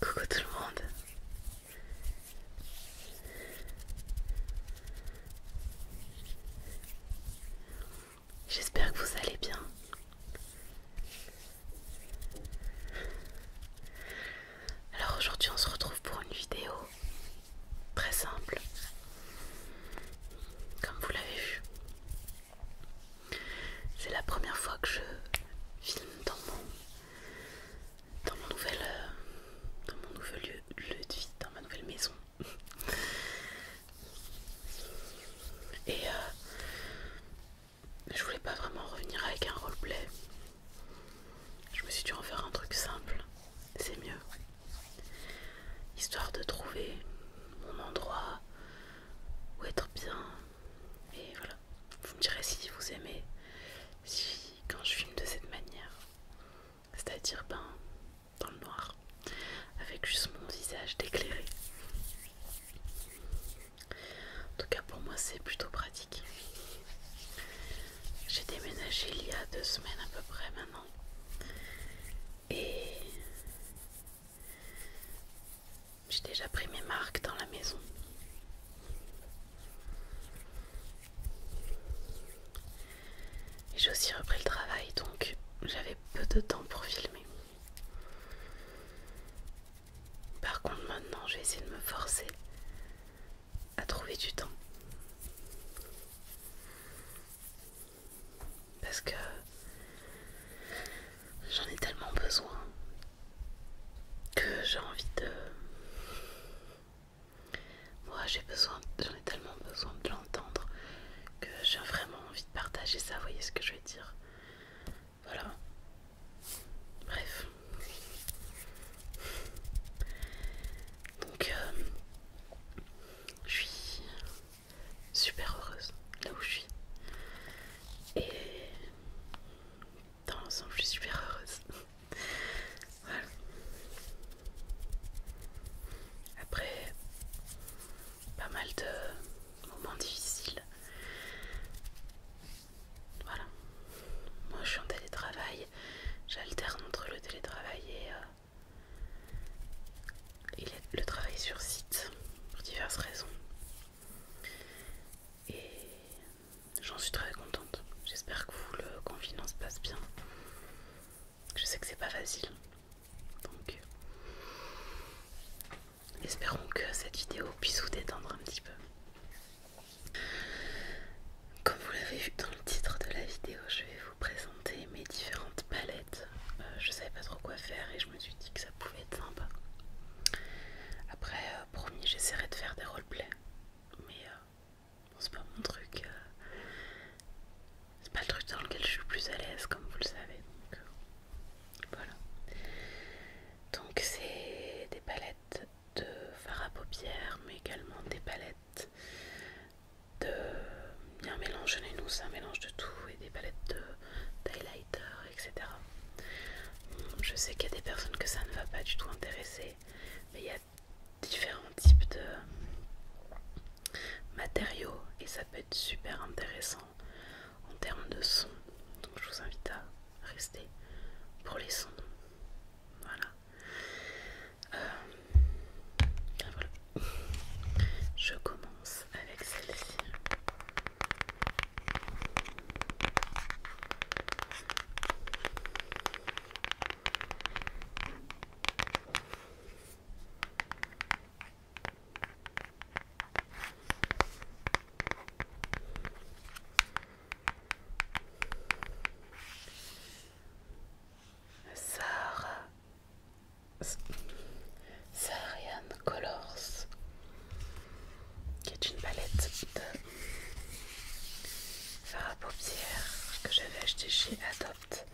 Coucou tout le monde. J'espère que vous allez bien. Alors aujourd'hui on se retrouve pour une vidéo très simple comme vous l'avez vu, c'est la première fois que je filme dans mon, dans mon nouvel, euh, lieu, de vie, dans ma nouvelle maison. Et euh, je voulais pas vraiment revenir avec un roleplay. Je me suis dû en faire un truc simple, c'est mieux histoire de trouver mon endroit où être bien. Et voilà, vous me direz si vous aimez, si quand je filme de cette manière, c'est-à-dire ben dans le noir, avec juste mon visage d'éclairé. En tout cas pour moi c'est plutôt pratique. J'ai déménagé il y a deux semaines à peu près maintenant. Et j'ai déjà pris mes marques dans la maison. Et j'ai aussi repris le travail, donc j'avais peu de temps pour filmer. Par contre maintenant, je vais essayer de me forcer à trouver du temps. Parce que j'en ai tellement besoin que j'ai envie de... Moi j'ai besoin, j'en ai tellement besoin de l'entendre que j'ai vraiment envie de partager ça, vous voyez ce que je veux dire. Voilà. Bref. Donc, euh, je suis super heureuse là où je suis. Et dans l'ensemble, je suis super heureuse. voilà. Après, pas mal de moments difficiles. Voilà. Moi, je suis en télétravail. J'alterne entre le télétravail et... Euh, il le travail sur site pour diverses raisons. Et j'en suis très contente. J'espère que vous, le confinement se passe bien. Je sais que c'est pas facile. Donc, espérons que cette vidéo puisse vous détendre un petit peu. Comme vous l'avez vu dans le titre de la vidéo, je vais vous présenter mes différentes palettes. Euh, je savais pas trop quoi faire et je me suis dit que ça pouvait être sympa. Après, euh, promis, j'essaierai de faire des roleplays, mais euh, c'est pas mon truc. c'est pas le truc dans lequel je suis plus à l'aise, comme vous le savez. Donc voilà. Donc c'est des palettes de fards à paupières, mais également des palettes de bien mélange nous, c'est un mélange de tout et des palettes de etc. Je sais qu'il y a des personnes que ça ne va pas du tout intéresser, mais il y a différents types de matériaux et ça peut être super intéressant en termes de son. Donc je vous invite à rester pour les sons. Voilà. Euh, ah, Je commence avec celle-ci. Saharian Colors, qui est une palette de fard à paupières que j'avais acheté chez Adopt.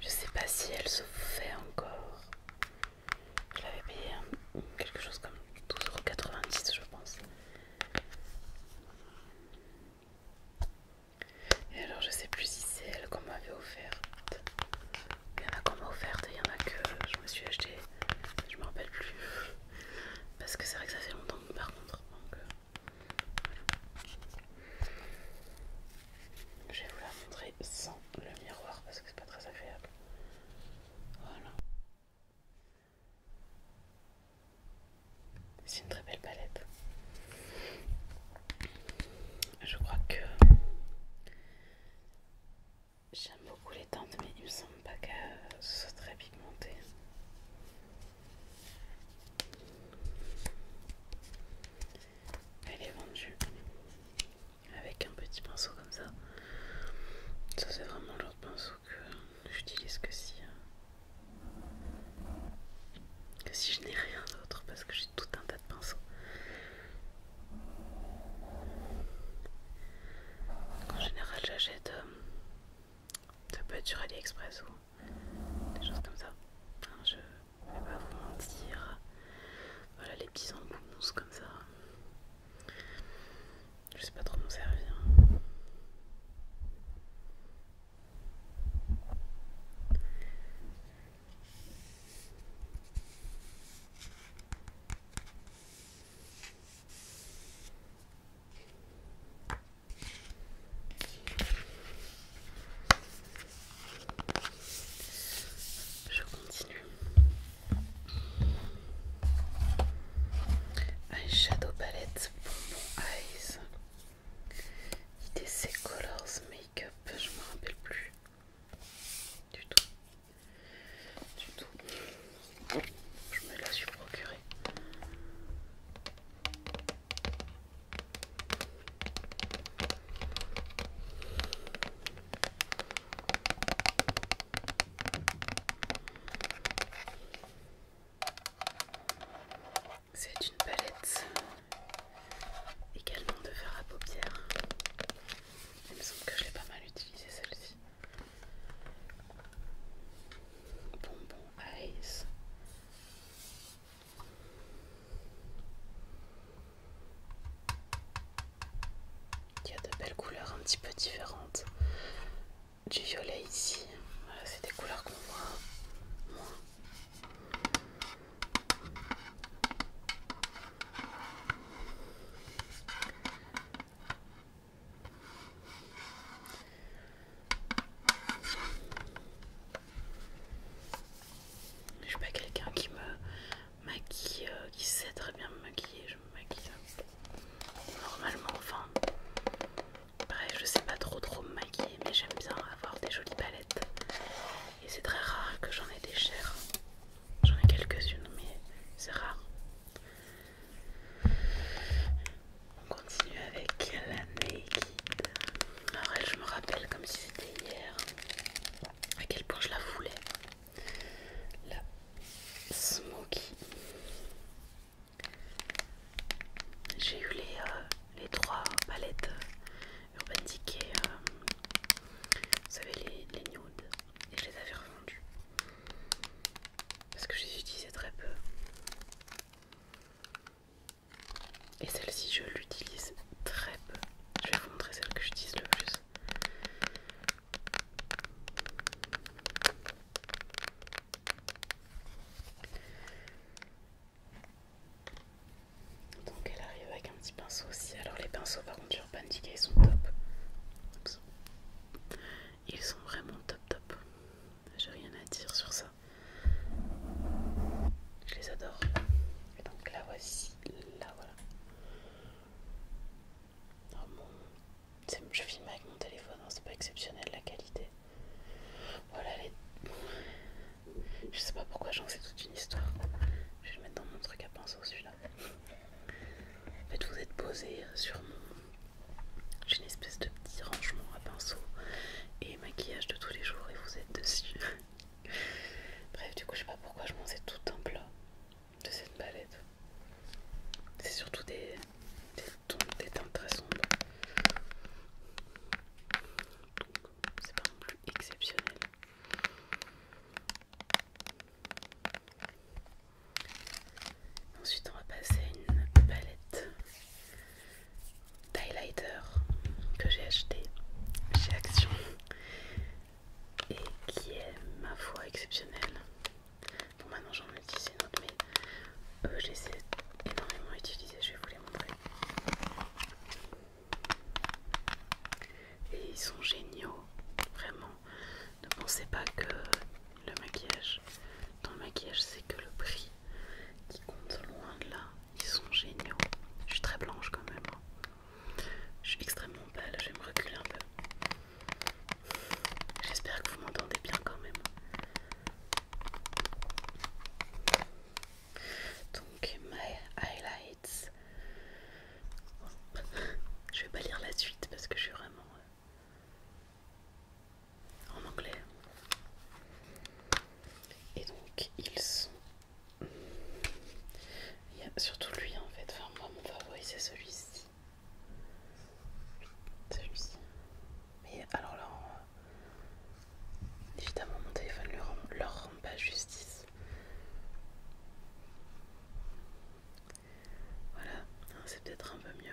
Je sais pas si elle se fait encore. Je l'avais payé quelque chose comme 12,90€ je pense. Et alors je sais plus si c'est elle qu'on m'avait offerte. Il y en a qu'on m'a offerte et il y en a que je me suis acheté. Je me rappelle plus. Parce que c'est vrai que ça fait longtemps par contre. Euh, je vais vous la montrer sans le miroir parce que c'est pas très agréable. Voilà. C'est une très belle palette. Je crois que j'aime beaucoup les teintes, mais il me semble pas qu'elles soient très pigmentées. Elle est vendue avec un petit pinceau comme ça. Ça c'est vraiment le pinceau que j'utilise que si hein que si je n'ai rien d'autre parce que j'ai tout un tas de pinceaux. En général j'achète euh, ça peut être sur AliExpress ou des choses comme ça. je vais pas vous mentir. Voilà les petits embouts comme ça. Je sais pas trop m'en servir. Je continue. Un shadow palette pour mon Eyes. L'idée c'est Colors Makeup, je me rappelle plus du tout. Du tout. je me la suis procurée. C'est une palette également de verre à paupières. Il me semble que je l'ai pas mal utilisé celle-ci. Bonbon Ice. Il y a de belles couleurs un petit peu différentes. Du violet ici, voilà, c'est des couleurs qu'on voit moins. Je suis pas quelqu'un qui me maquille, euh, qui sait très bien me maquiller, je me maquille euh, normalement, enfin, bref, je sais pas trop trop me maquiller, mais j'aime bien avoir des jolies palettes et c'est très rare que j'en ai des chères. J'en ai quelques-unes, mais c'est rare. On continue avec la Naked. Alors elle, je me rappelle comme si c'était hier à quel point je la voulais. La Smoky. J'ai eu les, euh, les trois palettes euh, Urban Decay, vous savez, les, les nudes, et je les avais revendus parce que je les utilisais très peu. Et celle-ci, je l'utilise très peu. Je vais vous montrer celle que j'utilise le plus. Donc elle arrive avec un petit pinceau aussi. Alors les pinceaux par contre Urban Decay sont top. Ils sont vraiment top top. J'ai rien à dire sur ça. Je les adore. donc là voici, là voilà. Oh, je filme avec mon téléphone, hein, c'est pas exceptionnel la qualité. Voilà les... Je sais pas pourquoi j'en sais toute une histoire. Je vais le mettre dans mon truc à pinceau celui-là. En fait, vous êtes posé sur mon. J'ai une espèce de petit rangement à pinceau et maquillage de tous les jours et vous êtes dessus. Bref, du coup, je sais pas pourquoi je m'en sais tout un plat de cette palette. C'est surtout des, teintes très sombres. Donc C'est pas non plus exceptionnel. Ensuite, on va passer à une palette d'highlighter que j'ai acheté chez Action et qui est, ma foi, exceptionnelle. Bon, maintenant j'en utilise une autre, mais euh, je les ai énormément utilisées, je vais vous les montrer. Et ils sont géniaux, vraiment. Ne pensez pas que le maquillage, dans le maquillage, c'est que le prix qui compte loin de là. Ils sont géniaux. Je suis très blanche quand même. Hein. Je suis extrêmement belle, je vais me reculer un peu. J'espère que vous m'entendez bien quand même. Donc, My Highlights. je vais pas lire la suite parce que je suis vraiment euh, en anglais. Et donc, ils sont. Il y a surtout lui en fait. Enfin, moi, mon favori, c'est celui-ci. Celui-ci. Mais alors là, Évidemment, mon téléphone ne leur, rend pas justice. Voilà, c'est peut-être un peu mieux.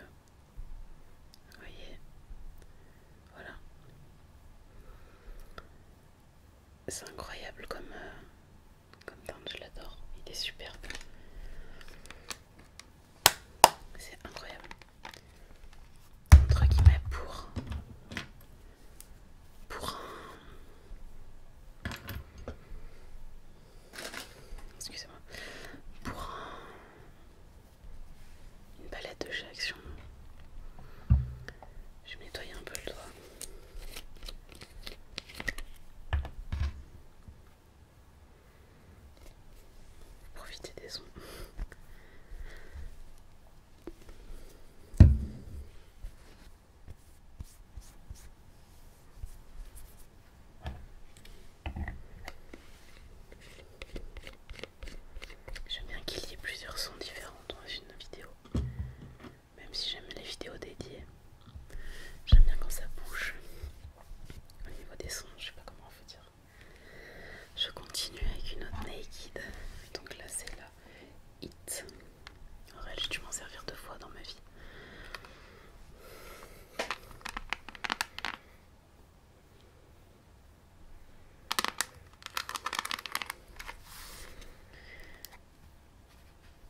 Vous voyez Voilà. C'est incroyable comme, euh, comme teinte, je l'adore. Il est superbe. C'est incroyable entre guillemets pour pour un excusez-moi pour un, une palette de chez Action je vais nettoyer un peu le doigt Profitez des sons. J'aime bien qu'il y ait plusieurs sons différents dans une vidéo, même si j'aime les vidéos dédiées. J'aime bien quand ça bouge au niveau des sons, je sais pas comment vous dire. Je continue avec une autre naked, donc là c'est là. Hit. j'ai dû m'en servir deux fois dans ma vie.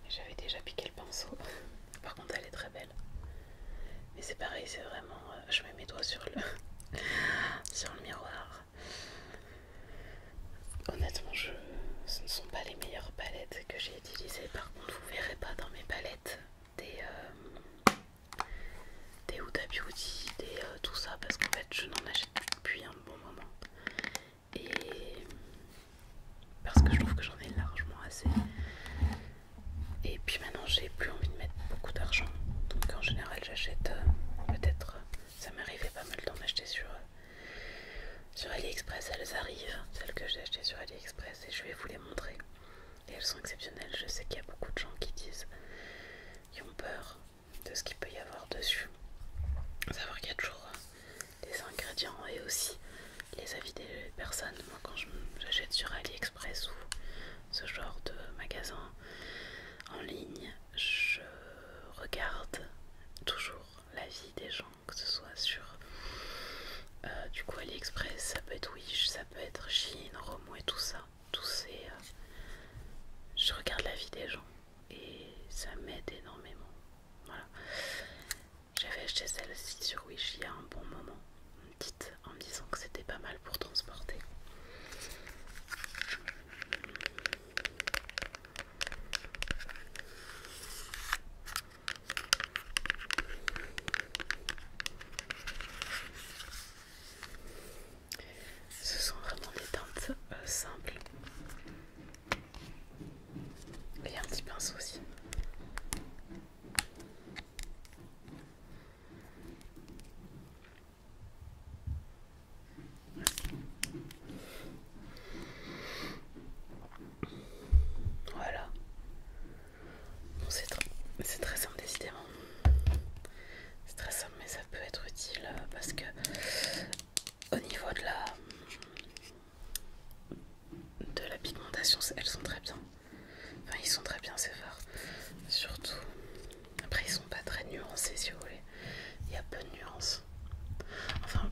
J'avais déjà piqué le pinceau. Par contre, elle est très belle. Mais c'est pareil, c'est vraiment. Euh, je mets mes doigts sur le miroir. Honnêtement, ce ne sont pas les meilleures palettes que j'ai utilisées. Par contre, vous verrez pas dans mes palettes des, euh, Huda Beauty, des euh, tout ça, parce qu'en fait, je n'en achète plus depuis un bon moment. Et parce que je trouve que j'en ai largement assez. Et puis maintenant, j'ai plus envie de mettre beaucoup d'argent. Donc en général, j'achète euh, peut-être ça m'arrivait pas mal d'en acheter sur, sur AliExpress. Elles arrivent, celles que j'ai achetées sur AliExpress, et je vais vous les montrer. Et elles sont exceptionnelles. Je sais qu'il y a beaucoup de gens qui disent, qu'ils ont peur de ce qu'il peut y avoir dessus. Savoir qu'il y a toujours des ingrédients et aussi les avis des personnes. Moi, quand j'achète sur AliExpress ou ce genre de magasin en ligne, je regarde toujours la vie des gens, que ce soit sur euh, du coup AliExpress, ça peut être Wish, ça peut être Chine, Romo et tout ça. Tous ces, euh, je regarde la vie des gens et ça m'aide énormément. Voilà. J'avais acheté celle-ci sur Wish il y a un bon moment, une en me disant que c'était pas mal pour transporter. Ce sont vraiment des teintes euh, simples. Et un petit pinceau aussi. Voilà. c'est très simple décidément. C'est très simple mais ça peut être utile euh, parce que au niveau de la de la pigmentation, elles sont très bien. Enfin, ils sont très bien ces phares. Surtout après, ils sont pas très nuancés, si vous voulez. Il y a peu de nuances. Enfin,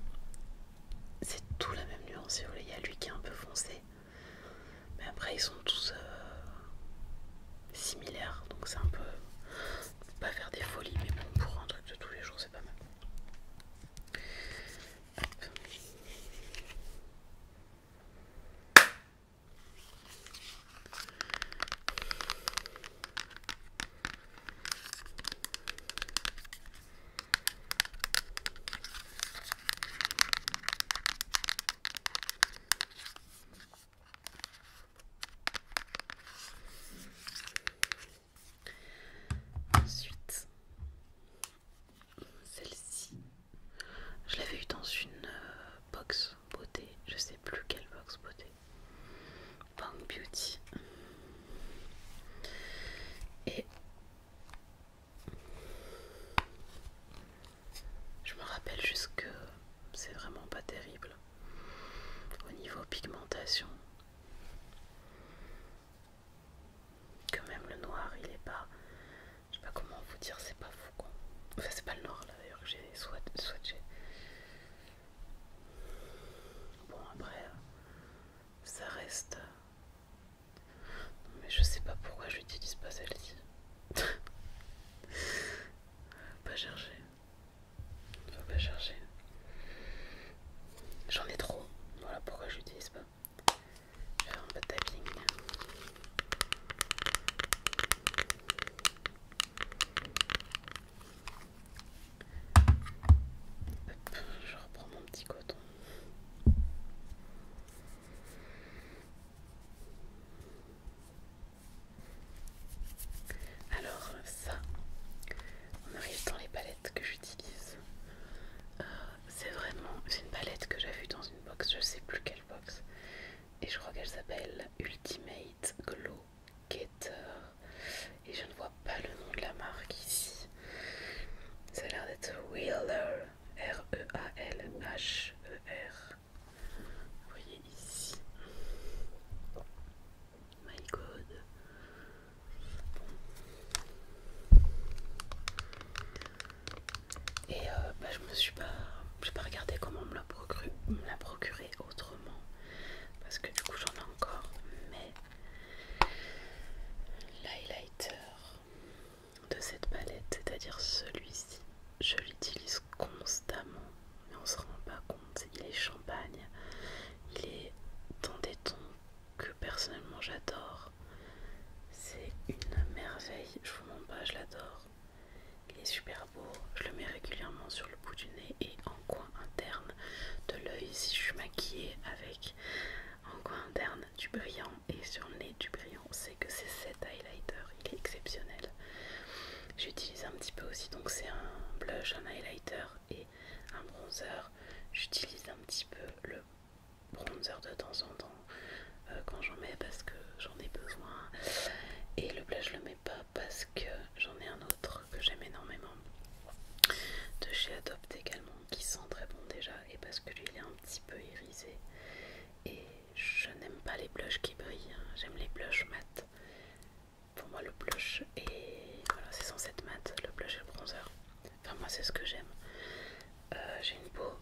c'est tout la même nuance, si vous voulez. Il y a lui qui est un peu foncé. Mais après, ils sont tous euh, similaires. Donc, c'est un peu. Pas faire des folies, mais bon, pour un truc de tous les jours, c'est pas mal. Ensuite, celle-ci, je l'avais eu dans une euh, box beauté, je sais plus quelle box beauté. Bang Beauty. Et je me rappelle juste que c'est vraiment pas terrible au niveau pigmentation. Que même le noir il est pas. Je sais pas comment vous dire, c'est pas fou quoi. Enfin, c'est pas le noir là d'ailleurs que j'ai swatché. Bon après, ça reste... Non, mais je sais pas pourquoi j'utilise pas celle-ci. pas chercher. Faut pas chercher. J'en ai trop. Voilà pourquoi j'utilise pas. Je vais faire un peu de tapping je reprends mon petit coton. Alors ça, on arrive dans les palettes que j'utilise. Euh, c'est vraiment, une palette que j'ai vu dans une box, je ne sais plus quelle box. Et je crois qu'elle s'appelle Ultimate Glow et je ne vois pas le nom de la marque ici. Ça a l'air d'être Wheeler, R-E-A-L-H-E-R. E e Vous voyez ici. My God. Et euh, bah, je me suis pas, j'ai pas regardé comment on la me la procuré autrement parce que du coup j'en ai encore mais l'highlighter de cette palette c'est à dire celui-ci je l'utilise constamment mais on se rend pas compte il est champagne il est dans des tons que personnellement j'adore c'est une merveille je vous mens pas je l'adore il est super je le mets régulièrement sur le bout du nez et en coin interne de l'œil si je suis maquillée avec en coin interne du brillant et sur le nez du brillant. C'est que c'est cet highlighter, il est exceptionnel. J'utilise un petit peu aussi, donc c'est un blush, un highlighter et un bronzer. J'utilise un petit peu le bronzer de temps en temps euh, quand j'en mets parce que j'en ai besoin et le blush je le mets pas parce que j'en ai un autre que j'aime énormément de chez Adopt également qui sent très bon déjà et parce que lui il est un petit peu irisé et je n'aime pas les blushs qui brillent hein. j'aime les blushs mat pour moi le blush et voilà c'est censé être mat le blush et le bronzer enfin moi c'est ce que j'aime euh, j'ai une peau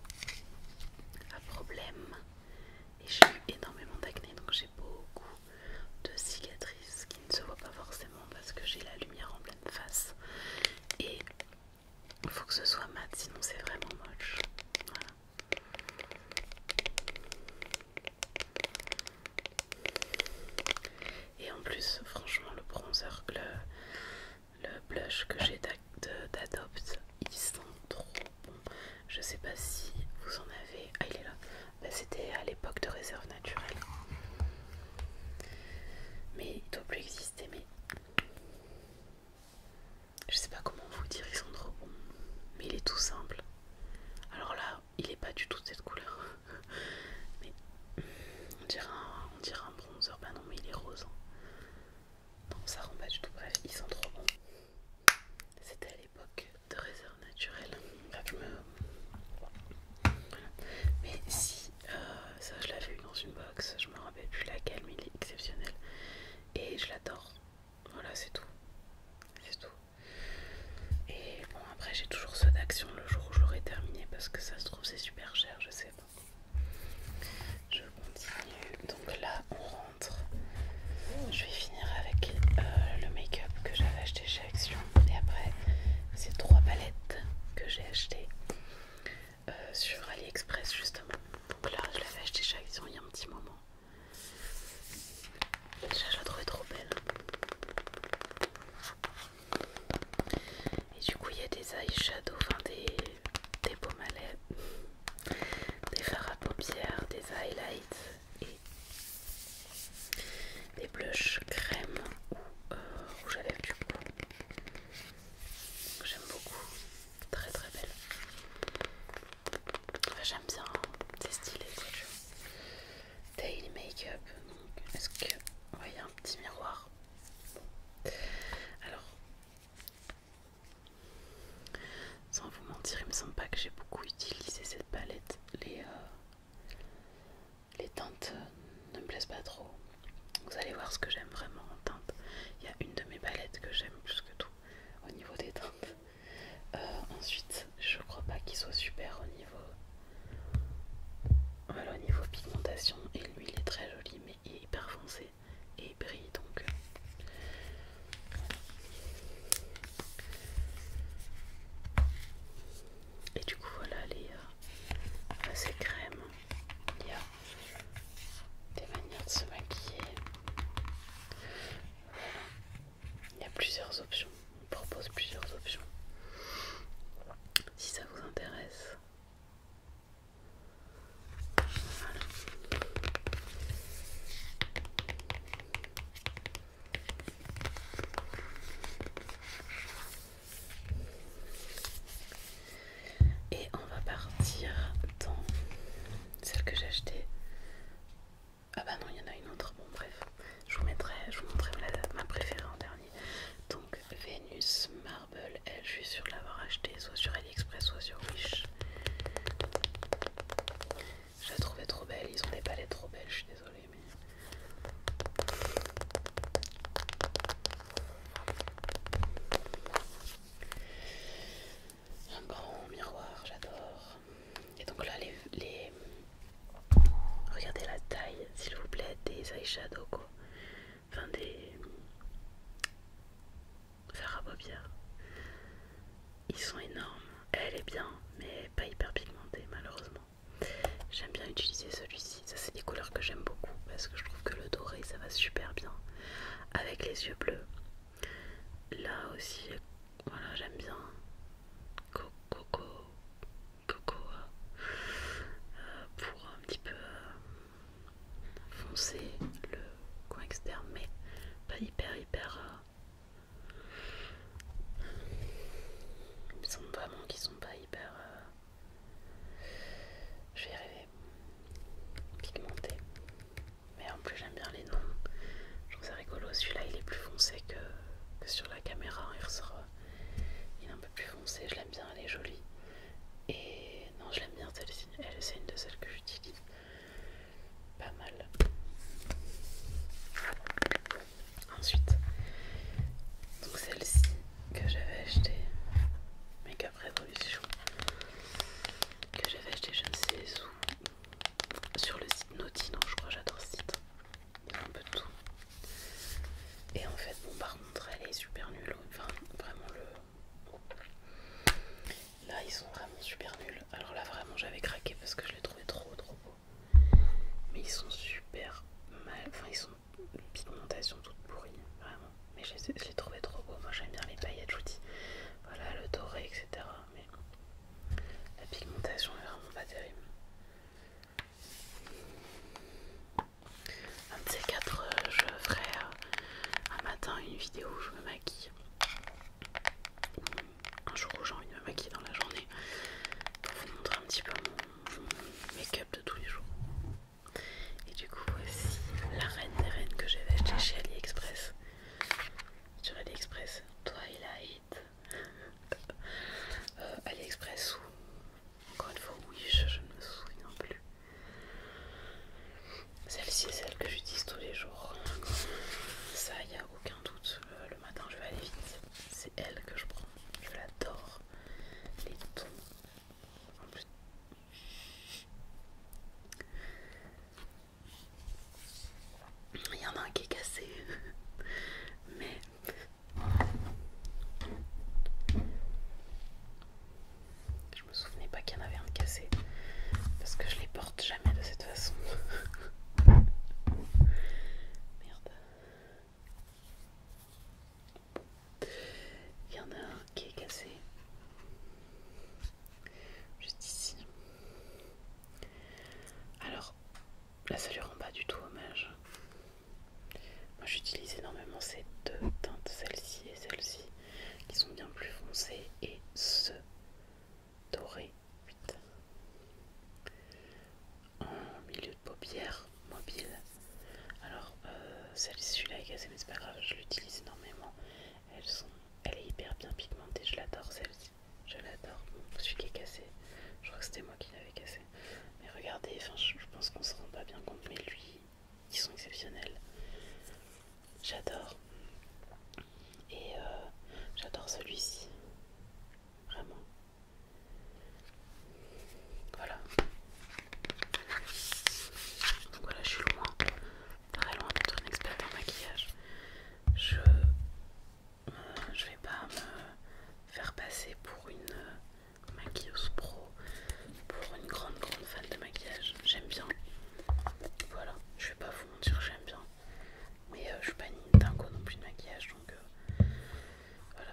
à problème et j'ai eu énormément d'acné donc j'ai beaucoup de cicatrices qui ne se voient pas forcément parce que j'ai la lumière en pleine face et il faut que ce soit mat sinon c'est vraiment moche Et en plus, franchement, le bronzer, le, le blush que j'ai d'Adopt, ils sont trop bons. Je sais pas si vous en avez. Ah, il est là. Bah, c'était à l'époque de réserve naturelle. Mais il doit plus exister. Mais je sais pas comment vous dire, ils sont trop bons. Mais il est tout simple. Alors là, il est pas du tout cette couleur. mais on dirait un, bronzer. Bah non, mais il est rose. Hein. Non, ça rend pas du tout. Bref, ils sont trop bons. C'était à l'époque de réserve naturelle. Mais si, euh, ça je l'avais eu dans une box, je me rappelle plus laquelle, mais il est exceptionnel. Et je l'adore. Voilà, c'est tout. C'est tout. Et bon, après j'ai toujours ceux d'action le jour où je l'aurai terminé parce que ça se trouve c'est super cher, je sais pas. Je continue. Donc là, on rentre. Je vais avec euh, le make-up que j'avais acheté chez Action. Et après, ces trois palettes que j'ai achetées euh, sur AliExpress justement. Donc là, je l'avais acheté chez Action il y a un petit moment. Déjà, je trop belle. Et du coup, il y a des eyeshadows, enfin des, beaux malets, des fards à paupières, des highlights et des blushs crème ou j'avais euh, rouge J'aime beaucoup, très très belle. Enfin, J'aime bien, hein. c'est stylé Daily makeup. up Est-ce que vous voyez un petit miroir Alors, sans vous mentir, il me semble pas que j'ai beaucoup utilisé cette palette. Les, euh, teintes euh, ne me plaisent pas trop. Vous allez voir ce que j'aime vraiment en teinte. Il y a une de mes palettes que j'aime plus que tout au niveau des teintes. Euh, ensuite, je crois pas qu'il soit super au niveau. au niveau pigmentation. Et lui, il est très joli, mais il est hyper foncé et il brille donc. Et du coup, voilà les a euh, ces crèmes. Il y a des manières de se maquiller. Il y a plusieurs options. On propose plusieurs options. Si ça vous intéresse. Et on va partir dans celle que j'ai achetée. Ah bah non, il y en a une autre. Bon bref, je vous mettrai, je vous montrerai ma préférée en dernier. Donc Vénus Marble, elle, je suis sûre de l'avoir acheté soit sur AliExpress, soit sur Wish. Je la trouvais trop belle, ils ont des palettes trop belles, je suis désolée mais... Un grand miroir, j'adore. Et donc là, les, Regardez la taille, s'il vous plaît, des eyeshadows quoi. Enfin des... Faire à ils sont énormes. Elle est bien, mais pas hyper pigmentée malheureusement. J'aime bien utiliser celui-ci. Ça, c'est des couleurs que j'aime beaucoup parce que je trouve que le doré, ça va super bien avec les yeux bleus. Là aussi, voilà, j'aime bien. Coco, coco, euh, pour un petit peu euh, foncer le coin externe, mais pas hyper hyper. Euh, ils sont vraiment qui sont pas hyper. Euh, je vais arriver. Pigmentés. Mais en plus, j'aime bien les noms. Je trouve ça rigolo. Celui-là, il est plus foncé que, sur la caméra. Hein, il ressort. Euh, il est un peu plus foncé. Je l'aime bien. Elle est jolie. Et non, je l'aime bien celle-ci. Elle, c'est une de celles que j'utilise pas mal. Ensuite, donc celle-ci que j'avais acheté mais qu'après Revolution, que j'avais acheté je sais où, sur le site Naughty, non je crois j'adore ce site, il y a un peu de tout. Et en fait, bon par contre elle est super nulle, enfin vraiment le... Là ils sont vraiment super nuls, alors là vraiment j'avais craqué parce que je les trouvais trop trop beaux mais ils sont super mal, enfin ils sont une pigmentation toute pourrie, vraiment. Mais je les, trouvais trop beaux, moi j'aime bien les paillettes, je dis, voilà le doré, etc. Mais la pigmentation est vraiment pas terrible. Un de ces quatre, euh, je ferai euh, un matin une vidéo où je me maquille un jour où j'ai envie de me maquiller dans la journée pour vous montrer un petit peu mon, make-up de tous les jours. Et du coup, voici la reine des reines que j'avais acheté chez AliExpress. Sur AliExpress, Twilight. Euh, AliExpress ou encore une fois Wish, je ne me souviens plus. Celle-ci est celle que j'utilise tous les jours. Ça, il n'y a aucun doute. Attends, je vais aller vite. C'est elle que je prends. Je l'adore. Les tons. Il y en a un qui est cassé. Mais. Je me souvenais pas qu'il y en avait un de cassé. Parce que je les porte jamais de cette façon. Merde. Il y en a un qui est cassé. Juste ici. Alors, là ça lui rend pas du tout hommage. Moi j'utilise énormément ces deux teintes, celle-ci et celle-ci, qui sont bien plus foncées, et ce doré 8. En milieu de paupière mobile. Alors euh, celle ci là est cassé mais c'est pas grave, je l'utilise énormément. elle est hyper bien pigmentée, je l'adore celle-ci. Je l'adore. celui qui est cassé, je crois que c'était moi qui l'avais cassé. Mais regardez, je, pense qu'on se rend pas bien compte, mais lui, ils sont exceptionnels. J'adore. Et euh, j'adore celui-ci. Vraiment. Voilà. Donc voilà, je suis loin, très loin d'être une experte en maquillage. Je je vais pas me faire passer pour une euh, maquilleuse pro, pour une grande grande fan de maquillage. J'aime bien. Voilà, je vais pas vous mentir, j'aime bien. Mais euh, je suis pas une dingo non plus de maquillage donc euh, voilà.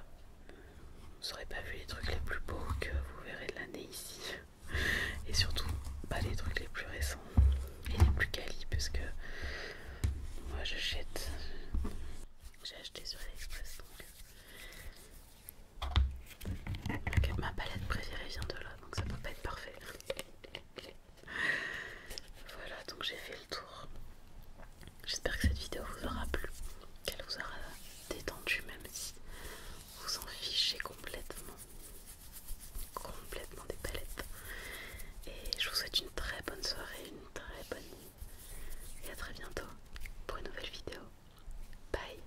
Vous aurez pas vu les trucs les plus beaux que vous verrez de l'année ici. Et surtout pas les trucs les plus récents et les plus quali parce que moi j'achète. J'ai acheté sur AliExpress donc. Euh, ma palette préférée vient de là donc ça peut pas être parfait. Voilà, donc j'ai fait le tour. J'espère que cette vidéo vous aura plu, qu'elle vous aura détendu, même si vous en fichez complètement, complètement des palettes. Et je vous souhaite une très bonne soirée, une très bonne nuit. Et à très bientôt pour une nouvelle vidéo. Bye